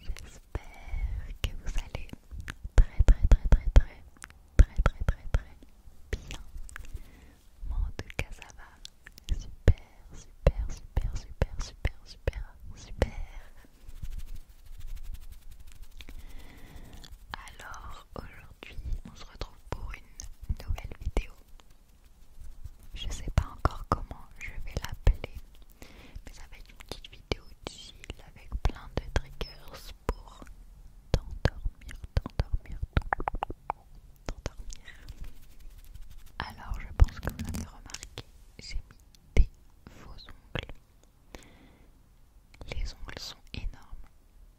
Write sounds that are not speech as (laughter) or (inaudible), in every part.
J'espère que vous allez très très très très très très très très très bien. Moi en tout cas ça va super super super super super super super alors aujourd'hui on se retrouve pour une nouvelle vidéo. Je sais pas encore comment je vais l'appeler, mais ça va être une petite vidéo utile avec plein de triggers pour t'endormir, t'endormir, t'endormir. Alors je pense que vous l'avez remarqué, j'ai mis des faux ongles. Les ongles sont énormes.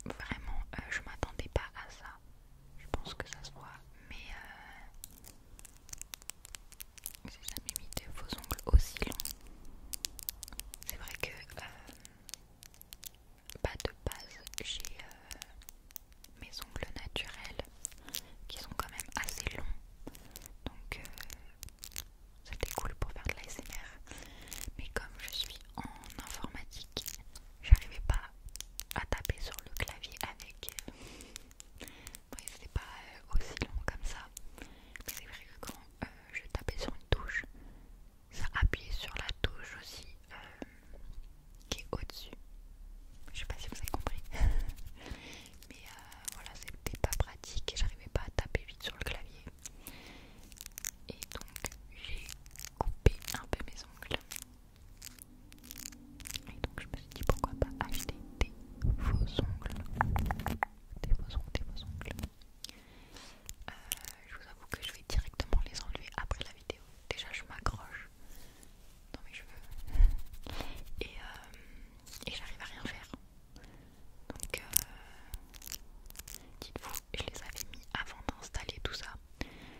Vraiment, euh, je m'attendais pas à ça. Je pense que ça se voit, mais si euh, j'ai jamais mis ongles aussi longs. C'est vrai que euh, pas de base, j'ai mes ongles naturels qui sont quand même assez longs. Donc c'était cool pour faire de l'ASMR mais comme je suis en informatique j'arrivais pas à taper sur le clavier avec c'était pas euh, aussi long comme ça mais c'est vrai que quand euh, je tapais sur une touche ça appuyait sur la touche aussi euh, qui est au dessus je sais pas si vous avez compris (laughs) mais euh, voilà c'était pas pratique et j'arrivais pas à taper vite sur le clavier et donc j'ai coupé un peu mes ongles et donc je me suis dit pourquoi pas acheter des faux ongles des faux ongles, des faux ongles euh, je vous avoue que je vais directement les enlever après la vidéo déjà je m'accroche dans mes cheveux (laughs) et, euh, et j'arrive à rien faire donc, euh, dites-vous, je les avais mis avant d'installer tout ça.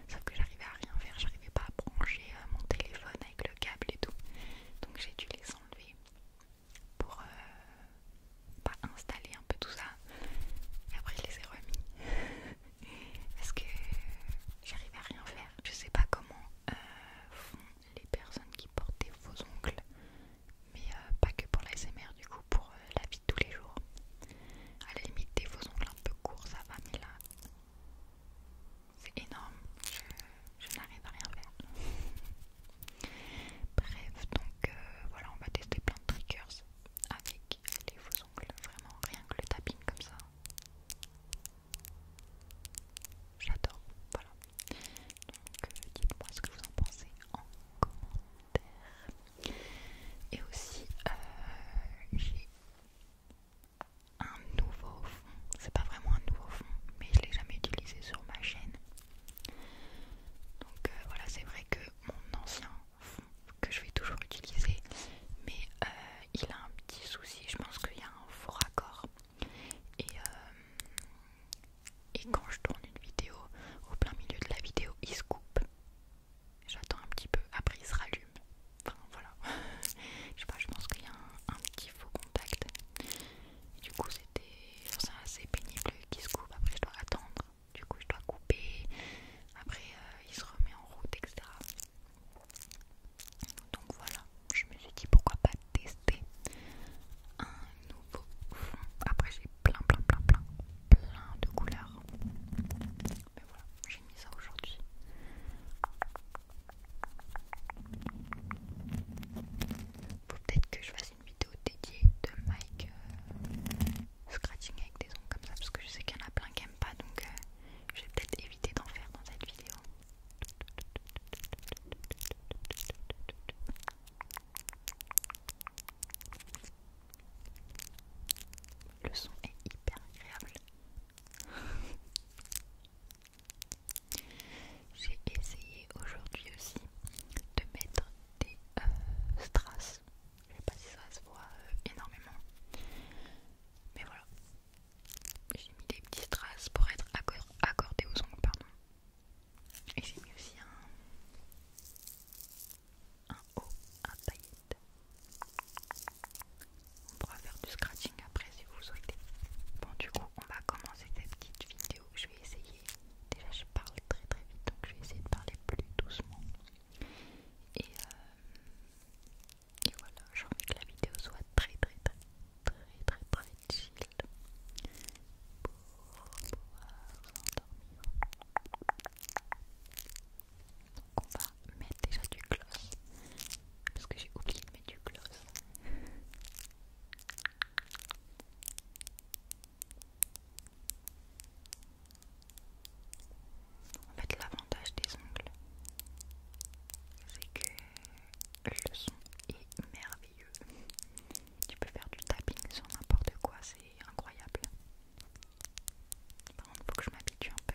Sauf que j'arrivais à rien faire, j'arrivais pas à brancher euh, mon téléphone avec le câble et tout. Donc, j'ai dû les enlever pour euh, installer un peu tout ça. Et après, je les ai remis. (laughs) Parce que j'arrivais à rien faire. Je sais pas comment font les personnes qui portent des faux ongles, mais euh, pas que pour l'ASMR, du coup, pour euh, la vie de tous les jours. À la limite, des faux ongles un peu courts, ça va, mais là, c'est énorme, je, n'arrive à rien faire. Bref, donc euh, voilà, on va tester plein de triggers avec les faux ongles, vraiment rien que le tapping comme ça. J'adore, voilà. Donc euh, dites-moi ce que vous en pensez en commentaire. Et aussi, euh, j'ai un nouveau fond. C'est pas vraiment un nouveau fond, mais je l'ai jamais utilisé sur ma chaîne. Donc euh, voilà, c'est vrai que mon ancien fond que je vais toujours utiliser, mais il a un petit souci. Je pense qu'il y a un faux raccord euh, et, quand je tourne une vidéo, au plein milieu de la vidéo, il se coupe. J'attends un petit peu, après il se rallume. Enfin voilà. (laughs) je sais pas, je pense qu'il y a un, petit faux contact. du coup, c'était assez pénible qu'il se coupe. Après, je dois attendre. Du coup, je dois couper. Après, euh, il se remet en route, etc. Donc voilà, je me suis dit pourquoi pas tester un nouveau fond. Après, j'ai plein, plein, plein, plein, plein de couleurs. Mais voilà, j'ai mis ça aujourd'hui. Faut peut-être que je fasse une vidéo dédiée de Mike euh, scratching avec des ongles comme ça parce que je sais qu'il y en a plein qui n'aiment pas donc euh, je vais peut-être éviter d'en faire dans cette vidéo le son est hyper agréable. (laughs) J'ai essayé aujourd'hui aussi de mettre des euh, strass. Je sais pas si ça se voit euh, énormément. Mais voilà, j'ai mis des petites traces pour être accordées accordé aux ongles, pardon. Et j'ai mis aussi un, un haut un paillette. On pourra faire du scratching après si vous souhaitez. Bon, du coup, on va commencer cette petite vidéo. Je vais essayer. Déjà, je parle très très vite, donc je vais essayer de parler plus doucement. Et, euh, et voilà, j'ai envie que la vidéo soit très très très très très très chill pour pouvoir s'endormir. on va mettre déjà du gloss parce que j'ai oublié de mettre du gloss. En fait, l'avantage des ongles, c'est que le son est merveilleux. Tu peux faire du tapping sur n'importe quoi, c'est incroyable. Par contre, faut que je m'habitue un peu.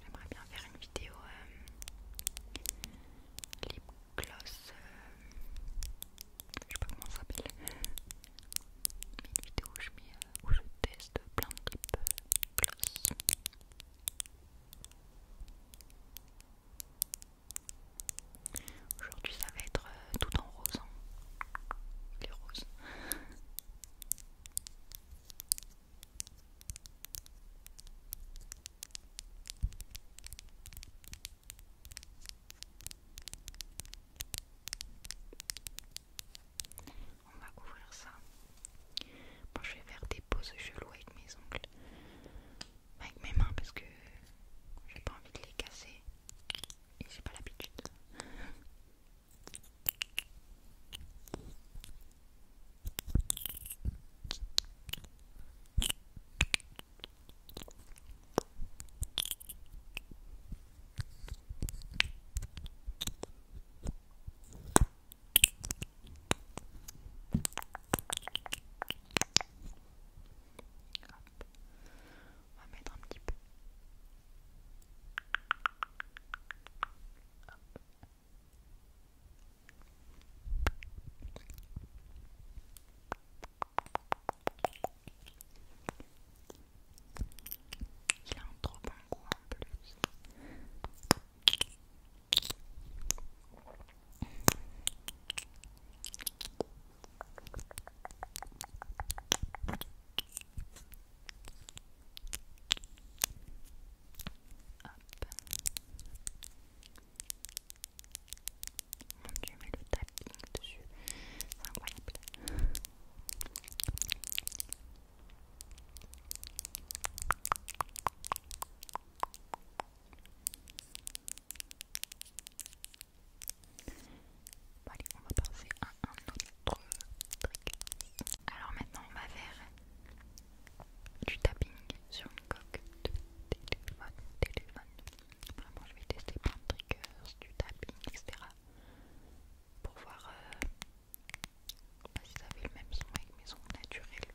J'aimerais bien faire une vidéo euh, lip gloss, je euh, je sais pas comment ça s'appelle, mais une vidéo où je, mets, euh, où je teste plein de lip gloss. Aujourd'hui ça va être euh, tout en rose. Hein. Les roses. On va couvrir ça. Moi, je vais faire des pauses gelou avec mes ongles avec mes mains parce que j'ai pas envie de les casser et j'ai pas l'habitude. Hop. On va mettre un petit peu. Il a un trop bon goût en plus. Mon dieu, mais le tapping dessus, c'est allez, on va passer à un autre truc. Alors maintenant, on va faire du tapping sur une coque de téléphone. Vraiment, je vais tester plein de triggers, du tapping, etc. Pour voir euh, si ça fait le même son avec mes sons naturels.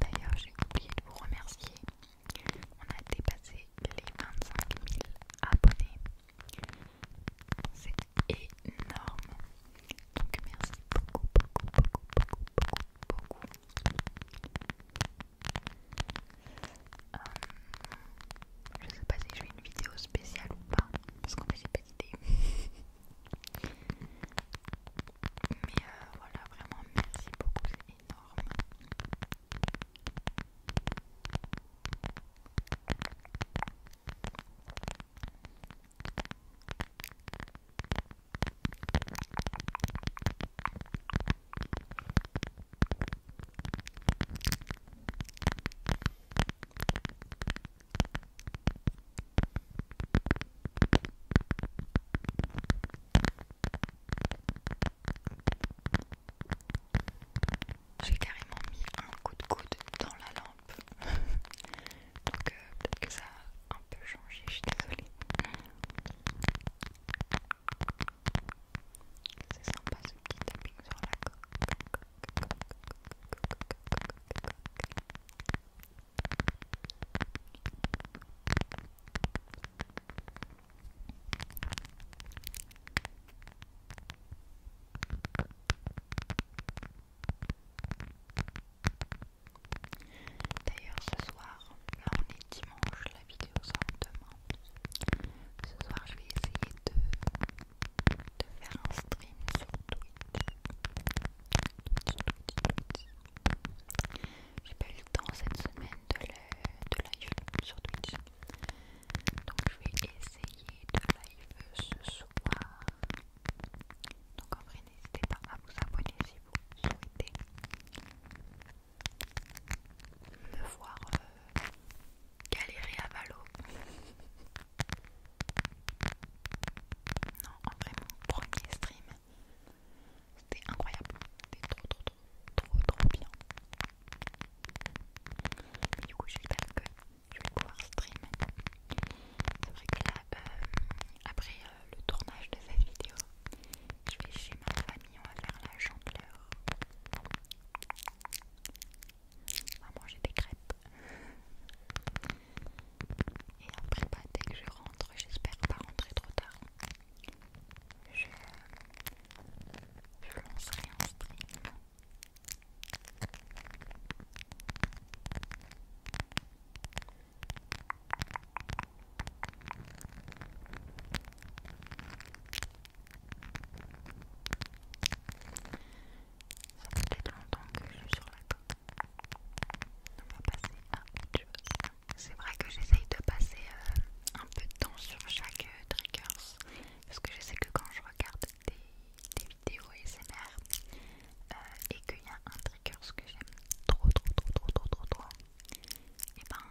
D'ailleurs, j'ai oublié de vous remercier. On a dépassé les 25 000 abonnés. C'est énorme. Donc merci beaucoup, beaucoup, beaucoup, beaucoup, beaucoup, beaucoup. Euh, je sais pas si je fais une vidéo spéciale ou pas, parce qu'on fait dit pas d'idée. (laughs) Mais euh, voilà, vraiment merci beaucoup, c'est énorme. J'ai carrément mis un coup de coude dans la lampe, donc peut-être que ça a un peu changé, je suis désolée. C'est sympa ce petit tapping sur la coque. D'ailleurs, ce soir, là on est dimanche, la vidéo sort demain. Ce soir, je vais essayer de, faire un stream sur Twitch. J'ai pas eu le temps cette semaine de la de live sur Twitch. Donc je vais essayer de live ce soir. Donc en vrai n'hésitez pas à vous abonner si vous souhaitez me voir euh, galérer à Valo. (laughs) Non, en vrai mon premier stream c'était incroyable. C'était trop, trop, trop, trop, trop bien. du coup, je vais pas que je vais pouvoir stream. C'est là, euh, après euh, le tournage de cette vidéo, je vais chez ma famille, on va faire la chandeleur. On va manger des crêpes. Et après, bah, dès que je rentre, j'espère pas rentrer trop tard, je, je lancerai un stream. Ça fait longtemps que je suis sur la coque on va passer à autre C'est vrai que j'essaye de passer euh, un peu de temps sur chaque euh, trickers. parce que je sais que quand je regarde des, des vidéos ASMR euh, et qu'il y a un trigger que j'aime trop, trop, trop, trop, trop, trop, trop, et eh ben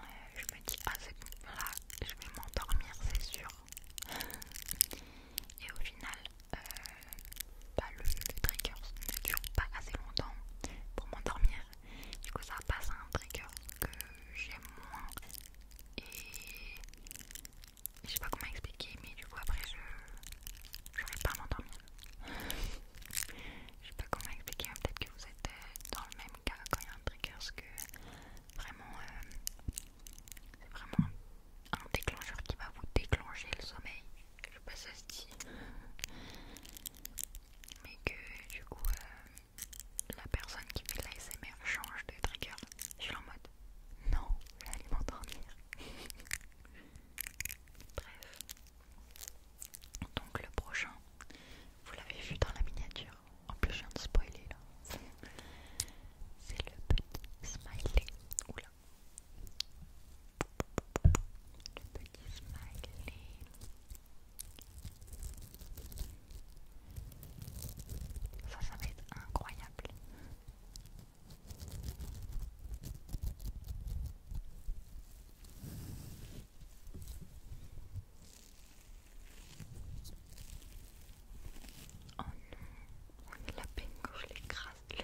je me dis, ah c'est là je vais m'endormir, c'est sûr. (laughs) et au final, euh, le, trigger ne dure pas assez longtemps pour m'endormir du coup ça passe à un trigger que j'aime moins et je sais pas comment expliquer mais du coup après je vais pas m'endormir je sais pas comment expliquer hein, peut-être que vous êtes euh, dans le même cas quand il y a un trigger que vraiment euh, c'est vraiment un déclencheur qui va vous déclencher le sommeil je sais pas si ça se dit, mais que du coup euh, la personne qui fait la l'ASMR change de trigger. Je suis en mode non, je aller m'endormir. (laughs) Bref, donc le prochain, vous l'avez vu dans la miniature. En plus, je viens de spoiler là. (laughs) C'est le petit smiley Oula le petit smiley. Ça, ça va être incroyable. Oh non, on la peine quand je l'écrase, les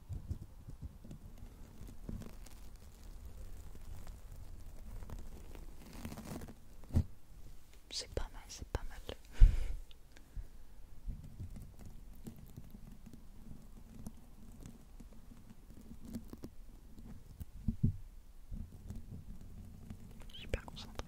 C'est pas mal, c'est pas mal. J'ai Super concentré.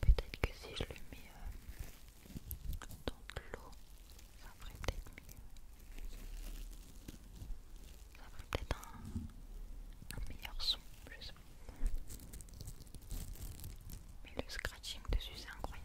Peut-être que si je le mets euh, dans de l'eau, ça ferait peut-être mieux. Ça ferait peut-être un, meilleur son, je sais pas. Mais le scratching dessus, c'est incroyable.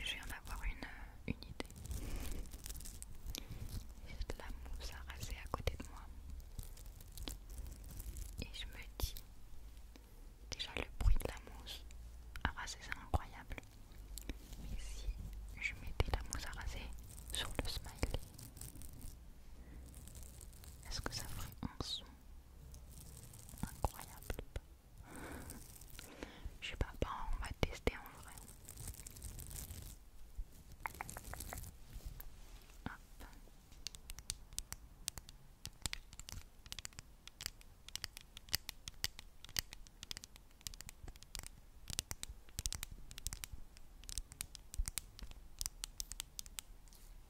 Je viens d'avoir une, une idée. J'ai de la mousse à raser à côté de moi. Et je me dis, déjà le bruit de la mousse à c'est incroyable. Mais si je mettais la mousse à raser sur le smiley, est-ce que ça ferait un son incroyable je sais pas, on va tester en vrai.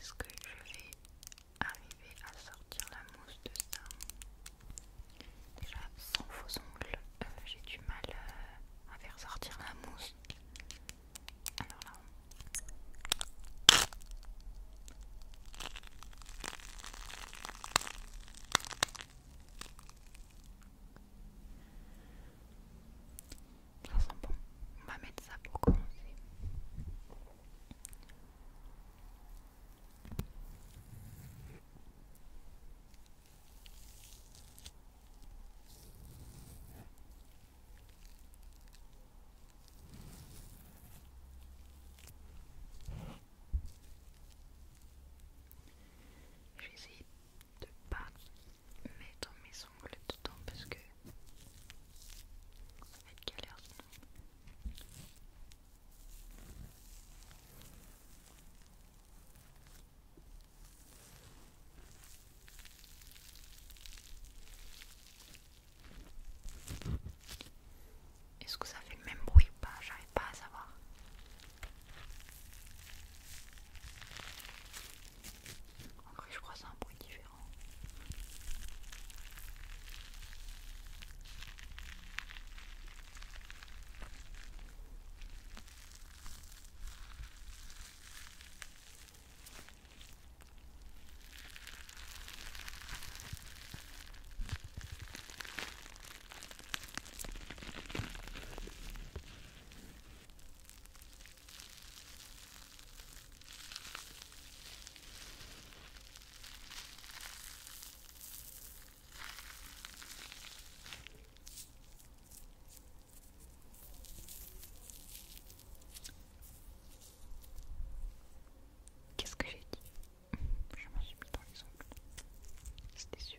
Est-ce que je vais arriver à sortir la mousse de ça Déjà, sans faux ongles, euh, j'ai du mal euh, à faire sortir la mousse. Alors là, ça sent bon. On va mettre ça pour commencer. Je vais essayer de pas mettre mes ongles dedans parce que ça va être galère Est-ce que ça fait le même bruit ou pas J'arrive pas à savoir. En vrai, je crois c'est un bruit différent. Qu'est-ce que j'ai dit (laughs) Je m'en suis mis dans les ongles. C'était sûr.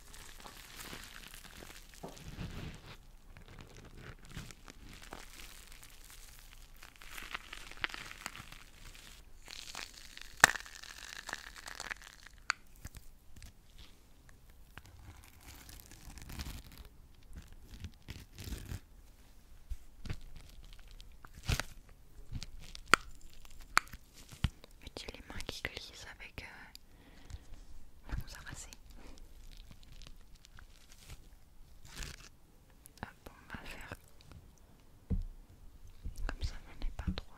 Mettez les mains qui glissent avec euh, ça, arraser. Hop, on va faire comme ça, on n'est pas trop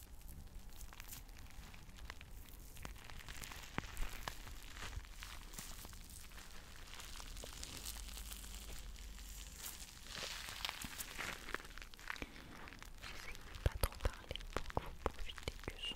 J'essaie de pas trop parler pour que vous profitez du son.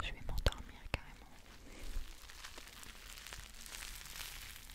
Je vais m'endormir carrément.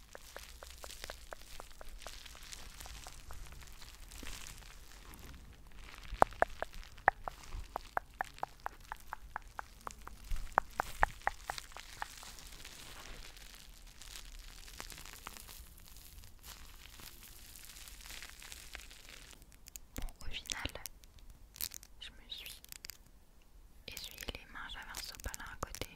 Bon, au final, je me suis essuyé les mains, j'avais un sopalin à côté.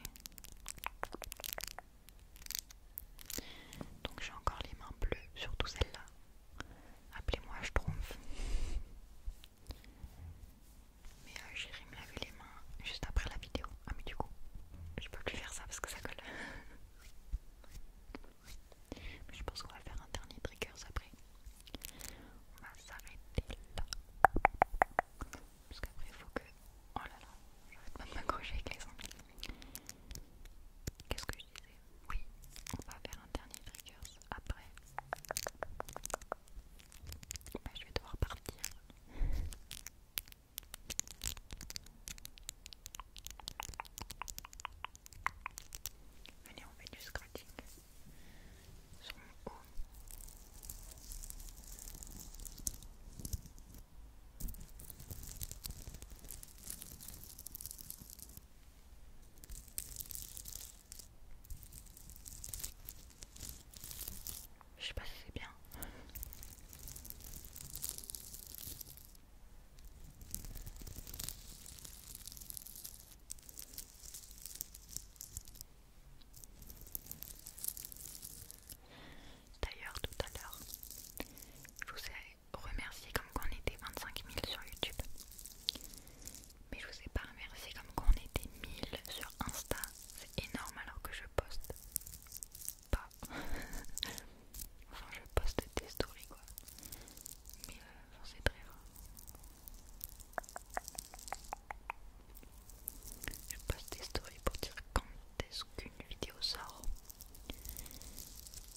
Donc j'ai encore les mains bleues, surtout celle-là. Appelez-moi je trompe. Mais j'ai j'irai me les mains juste après la vidéo. Ah mais du coup, je peux plus faire ça parce que ça colle. mais (laughs) je pense qu'on va faire un dernier trigger après. On va s'arrêter là. Parce qu'après, il faut que. Oh là là, j'arrête pas de m'accrocher avec les ongles. Qu'est-ce que je disais Oui, on va faire un dernier triggers après. Bah, je vais devoir partir. Venez, on fait du scratching. Sur mon je sais pas si c'est bien. D'ailleurs, tout à l'heure, je vous ai remercié comme qu'on était 25 000 sur YouTube. Mais je vous ai pas remercié comme qu'on était 1000 sur Insta. C'est énorme alors que je poste pas. (laughs) enfin, je poste des stories quoi. Mais c'est très rare. Je poste des stories pour dire quand est-ce qu'une vidéo sort.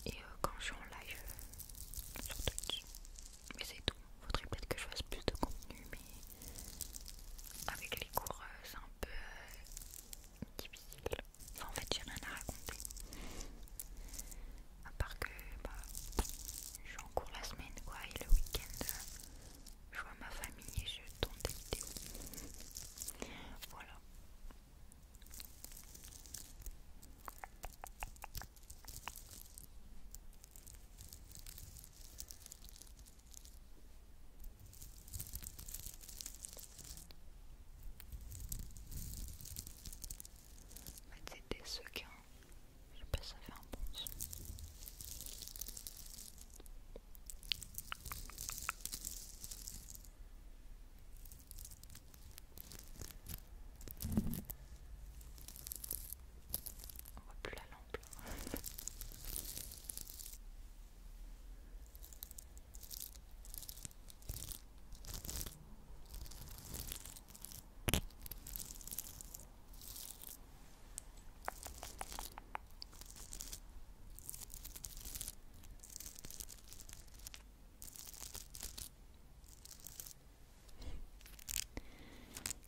Et euh, quand je suis en live euh, sur Twitch. Mais c'est tout. Faudrait peut-être que je fasse plus de contenu, mais avec les cours, euh, c'est un peu difficile. en fait, j'ai rien à raconter. À part que bah, je suis en cours la semaine et le week-end, je vois ma famille et je tourne des vidéos. Voilà. C'était ce qu'un, je sais pas si ça fait un bon son. On voit plus la lampe.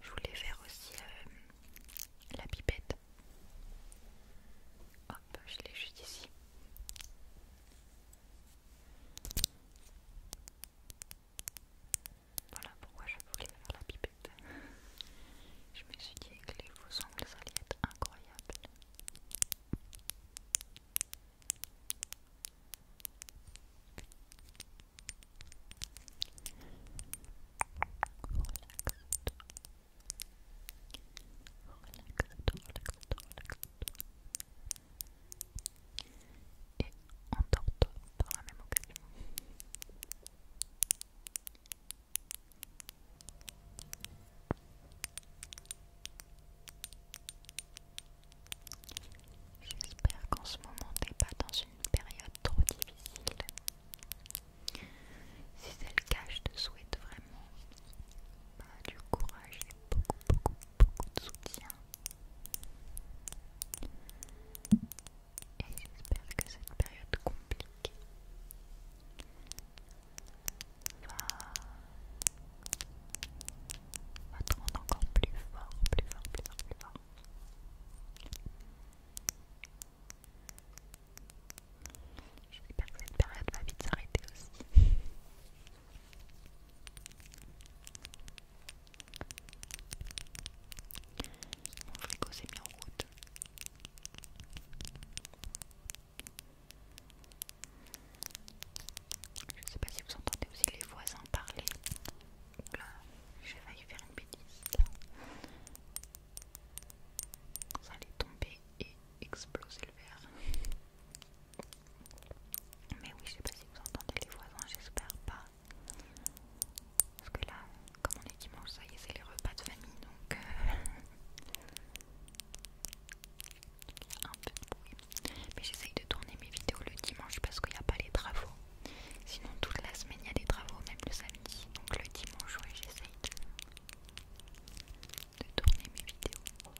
Je voulais faire aussi euh, la pipette. Hop, je l'ai juste ici. Voilà pourquoi je voulais faire la pipette. Je me suis dit que les faux ongles, ça être incroyables Relaxe-toi. Relaxe-toi, relaxe-toi, relaxe-toi. Et endors-toi dans la même occasion. J'espère qu'en ce moment t'es pas dans une période trop difficile. Si c'est le cas, je te souhaite vraiment bah, du courage et beaucoup, beaucoup, beaucoup de soutien et j'espère que cette période compliquée va, va encore plus fort, plus fort, plus fort, plus fort. J'espère que cette période va vite s'arrêter aussi. (laughs) Mon frigo s'est mis en route. Je ne sais pas si vous entendez aussi les voisins parler. Là, vais faire une bêtise. Ça allait tomber et exploser le verre. Mais oui, je sais pas si vous entendez les voisins, j'espère pas. Parce que là, comme on est dimanche, ça y est, c'est les repas de famille donc. Euh, (laughs) un peu bruit. Mais j'essaye de tourner mes vidéos le dimanche parce qu'il n'y a pas les travaux. Sinon, toute la semaine, il y a des travaux, même le samedi. Donc, le dimanche, oui, j'essaye de... tourner mes vidéos.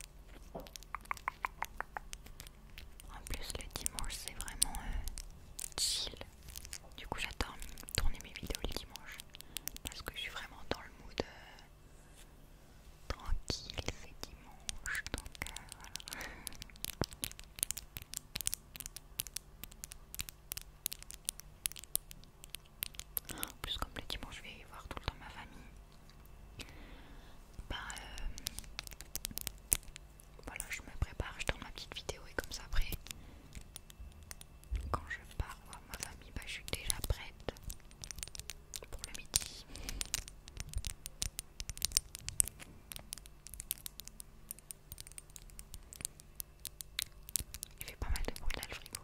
En plus, le dimanche, c'est vraiment euh, chill. Du coup, j'attends tourner mes vidéos le dimanche parce que je suis vraiment dans le mood euh, tranquille, c'est dimanche donc euh, En plus, comme le dimanche, je vais voir tout le temps ma famille. Bah, euh, voilà, je me prépare, je tourne ma petite vidéo et comme ça après, quand je pars voir ma famille, va bah, je suis déjà prête pour le midi. Il fait pas mal de bruit là le frigo.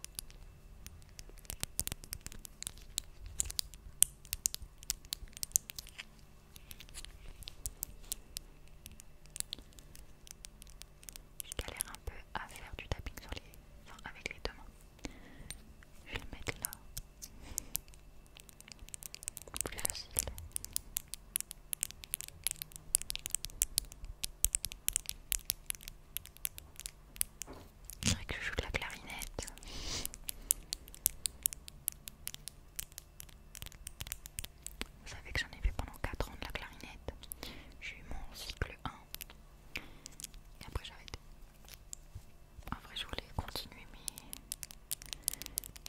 Je galère un peu à faire du tapping sur les... avec les deux mains. Je vais le mettre là. Plus facile. Je dirais que je joue de la clarinette. Vous savez que j'en ai fait pendant 4 ans de la clarinette. J'ai eu mon cycle 1. Et après j'ai arrêté. En vrai je voulais continuer mais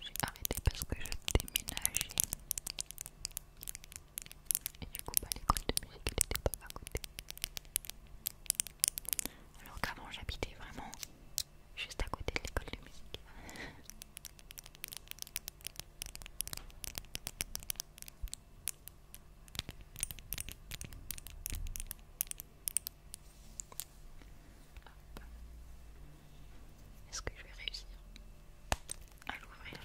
j'ai arrêté parce que je déménageais. Et du coup bah, l'école de musique elle était pas à côté. Alors qu'avant j'habitais vraiment juste à côté de l'école de musique. (laughs) Est-ce que je vais réussir à l'ouvrir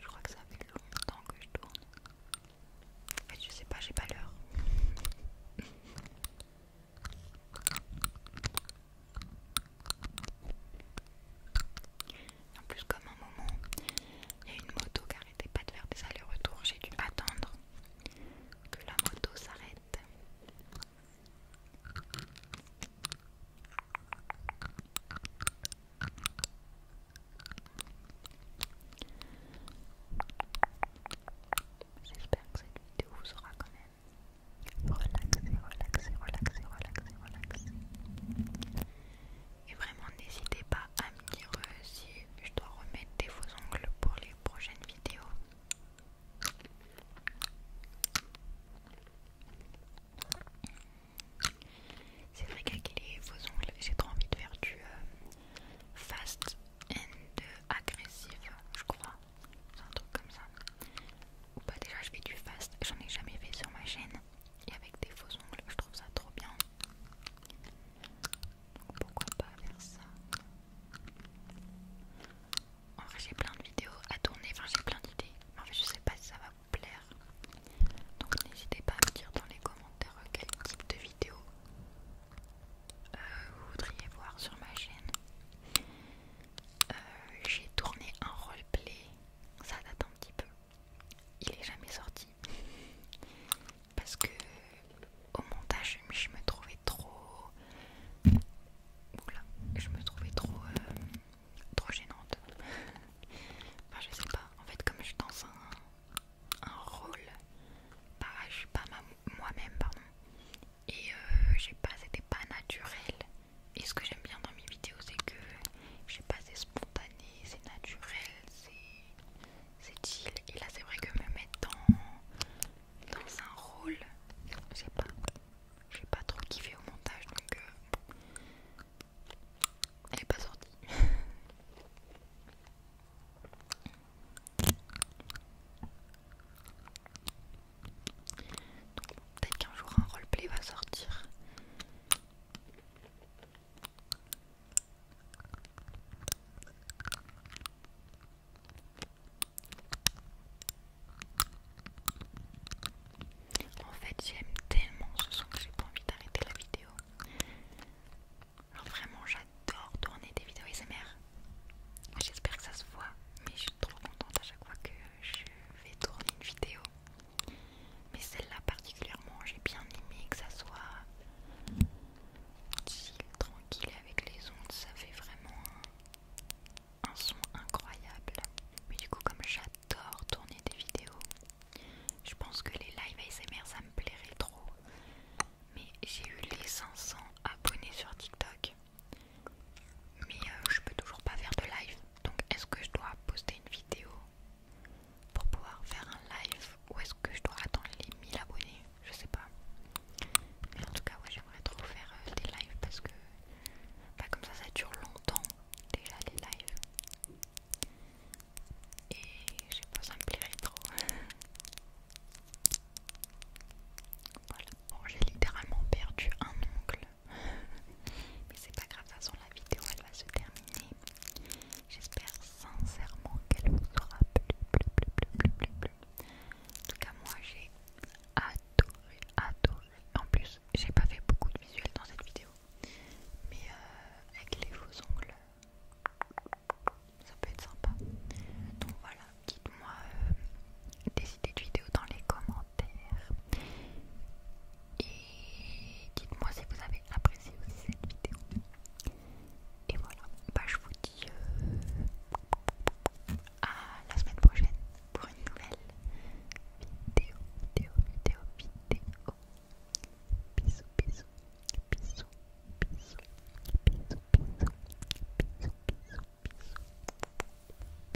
je crois que ça fait longtemps que je tourne. En fait, je sais pas, j'ai pas l'heure. En plus, comme un moment, il y a une moto qui arrêtait pas de faire des allers-retours, j'ai dû attendre que la moto s'arrête. J'espère que cette vidéo vous aura quand même relaxé, relaxé, relaxé, relaxé, relaxé. Et vraiment, n'hésitez pas à me dire euh, si je dois remettre des faux ongles pour les prochaines vidéos. C'est vrai qu'avec les faux ongles, j'ai trop envie de faire du euh, fast and agressive, je crois. C'est un truc comme ça. Ou pas déjà je fais du fast, j'en ai jamais fait sur ma chaîne et avec des faux ongles, je trouve ça trop bien. Donc pourquoi pas faire ça En vrai, j'ai plein de vidéos à tourner, enfin j'ai plein d'idées, mais en fait, je sais pas si ça va vous plaire. Donc n'hésitez pas à me dire dans les commentaires quel type de vidéo euh, vous voudriez voir sur ma chaîne. Euh, j'ai tourné un roleplay, ça date un petit peu, il est jamais sorti parce que au montage je me trouvais trop je me trouvais trop euh, trop gênante enfin je sais pas en fait comme je suis un, un rôle bah, je suis pas moi-même pardon et euh, pas c'était pas naturel et ce que j'aime bien dans mes vidéos, c'est que je sais pas, c'est spontané, c'est naturel, c'est chill. Et là, c'est vrai que me mettre dans, dans un rôle, je sais pas, j'ai pas trop kiffé au montage, donc euh, elle est pas sortie. (laughs) Peut-être qu'un jour un roleplay va sortir. En fait, j'aime tellement ce son que j'ai pas envie d'arrêter la vidéo. Alors vraiment, j'adore tourner des vidéos ASMR. J'espère que ça se voit, mais je suis trop contente à chaque fois que je vais tourner une vidéo mais celle-là particulièrement j'ai bien aimé que ça soit chill, tranquille avec les ondes, ça fait vraiment un, son incroyable. Mais du coup comme j'adore tourner des vidéos, je pense que les live ASMR ça me plairait trop. Mais j'ai eu les 500 abonnés sur TikTok. Mais euh, je peux toujours pas faire de live. Donc est-ce que je dois poster une vidéo pour pouvoir faire un live ou est-ce que je dois attendre les 1000 abonnés je sais pas mais en tout cas ouais j'aimerais trop faire euh, des lives parce que bah, comme ça ça dure longtemps déjà les lives et je sais pas ça me plairait trop (laughs) voilà bon j'ai littéralement perdu un oncle (laughs) Mais c'est pas grave, de toute façon la vidéo elle va se terminer. J'espère sincèrement qu'elle vous aura plu. En tout cas moi j'ai adoré, adoré. En plus j'ai pas fait beaucoup de visuels dans cette vidéo. Mais euh, avec les faux ongles, ça peut être sympa. Donc voilà, dites-moi euh, des idées de vidéo dans les commentaires. Et dites-moi si vous avez apprécié aussi cette vidéo. Et voilà, bah, je vous dis euh, à la semaine prochaine pour une nouvelle vidéo, vidéo, bisous, bisous, bisous.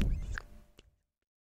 bisous.